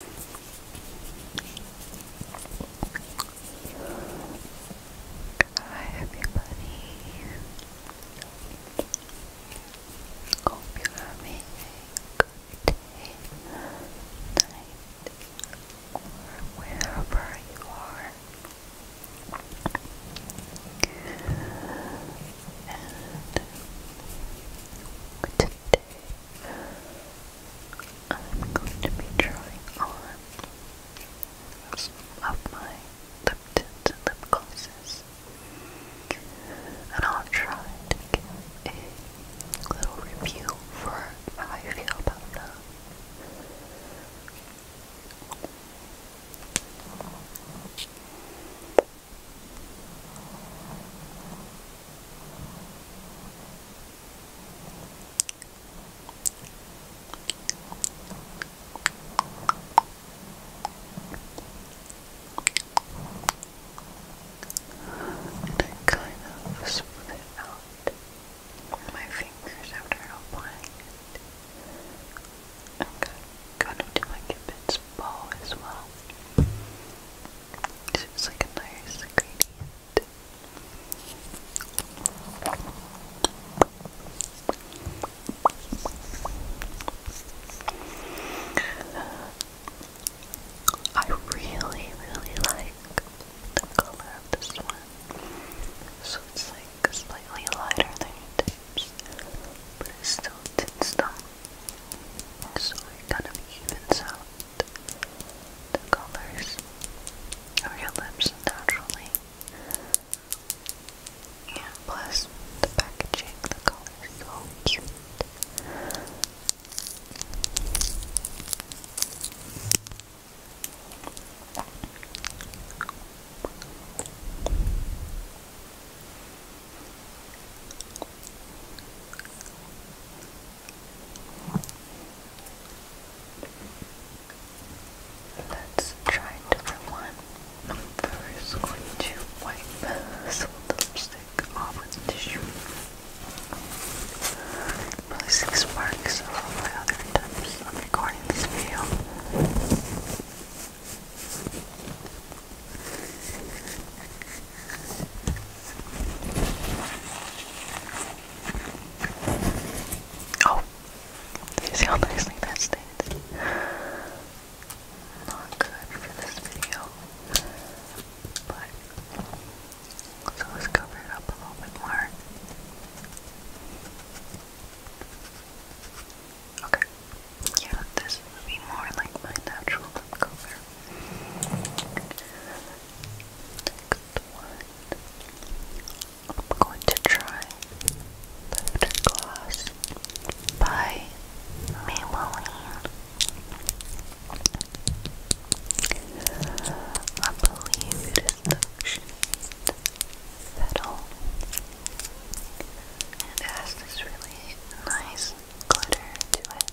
Hi everybody. Hope you're having a good night, or wherever you are. And today I'm going to be trying on some of my lip tints lip glosses. And I'll try to give a little review for how I feel about them. And I kind of smooth it out my fingers after applying it. i going to go my Cupid's bow as well. It's like a nice ingredient. Uh, I really, really like the color of this one. So it's like slightly lighter than but it still tints So it kind of evens out the colors of your lips naturally. And plus the packaging, the color so cute. Let's try a different one. I'm first going to wipe the lipstick off with tissue. I'm releasing my other attempts on recording this video. Oh, do you see how nicely that stays? Not good for this video, but so let's cover it up a little bit more. Okay, yeah, this would be more like my natural lip cover. Next one. I'm going to try Lifter Gloss by Maybelline. I believe it is the shade Petal. And has this really nice glitter to it.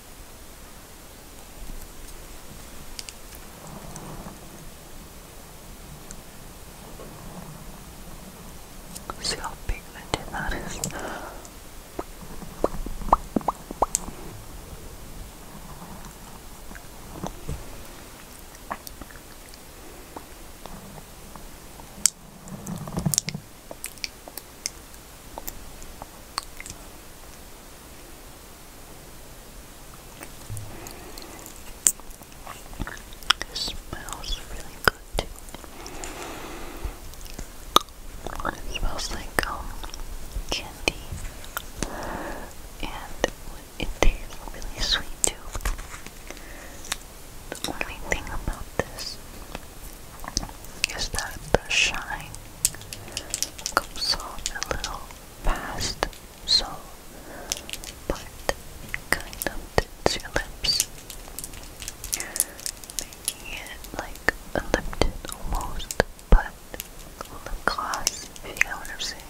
See how pigmented that is. It smells really good too. It smells like um, candy, and it tastes really sweet too. The only thing about this is that the shine comes off a little fast, so, but kind of tints your lips, making it like a almost, but lip if you know what I'm saying.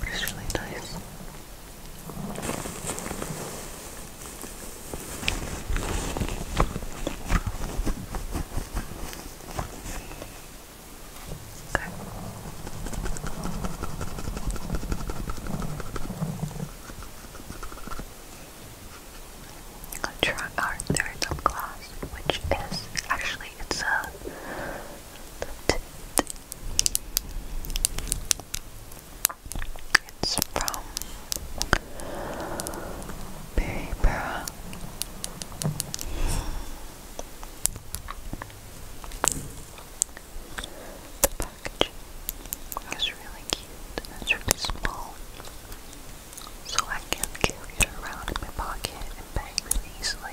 But it's really nice. Okay. i third lip gloss, which is actually it's a it's from Berry Burra. The package is really cute and it's really small, so I can carry it around in my pocket and bag really easily.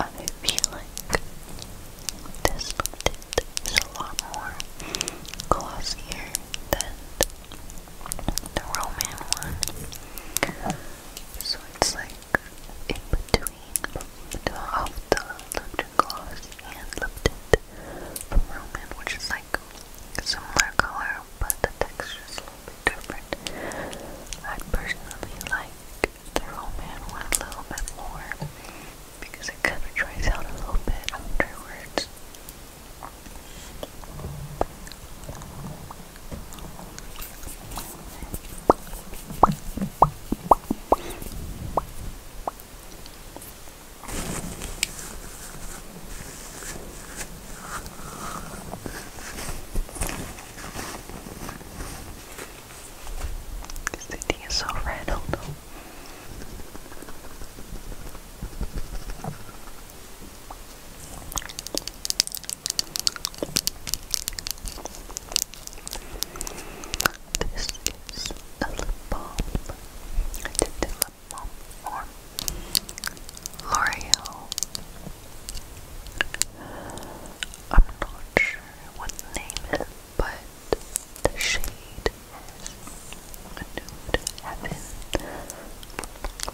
I'm feeling this is a lot more glossier than the Roman one. So it's like in between the, of the Lipton gloss and Lipton from Roman, which is like similar color, but the texture is a little bit different. I personally like the Roman one a little bit more because it kind of dries out a little bit afterwards. This city is so red, this is a lip balm. the lip balm L'Oreal. I'm not sure what name is but the shade is a nude heaven.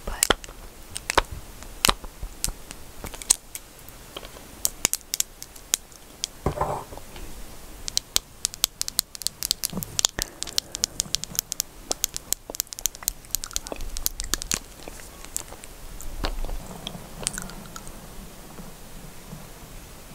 But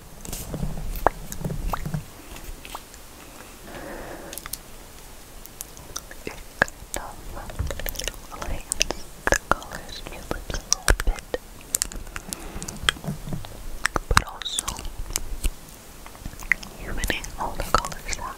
kind of lightens the colors in your lips a little bit, but also humaning all the colors out.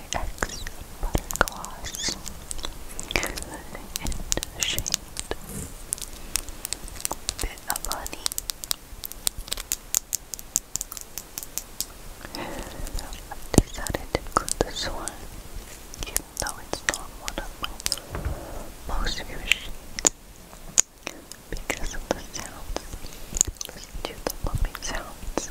X in the shade Bit of Honey. I've decided to include this one, even though it's not one of my most favorite shades, because of the sounds. Listen the bumping sounds.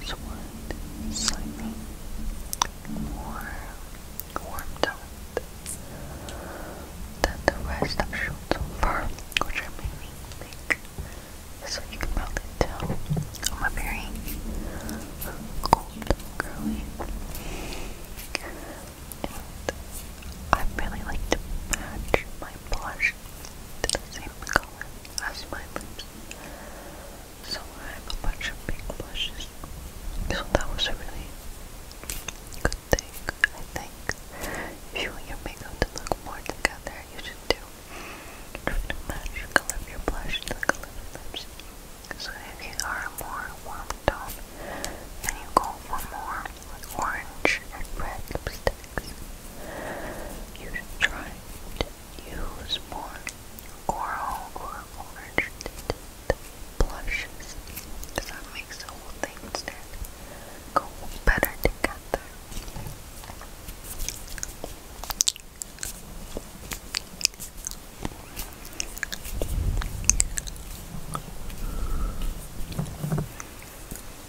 This one is slightly more warmed out than the rest I've shown so far, which I mainly think so you can probably tell I'm oh, a very cold And I really like to match my blush to the same color as my lips. So I have a bunch of pink blushes. So that was a good thing, I think. If you want your makeup to look more together, you should do match the color of your blush to the color of your lips. So if you are a more warm tone, then you go for more orange and red lipstick tactics. You should try to use more coral or orange blushes because that makes the whole thing go better together.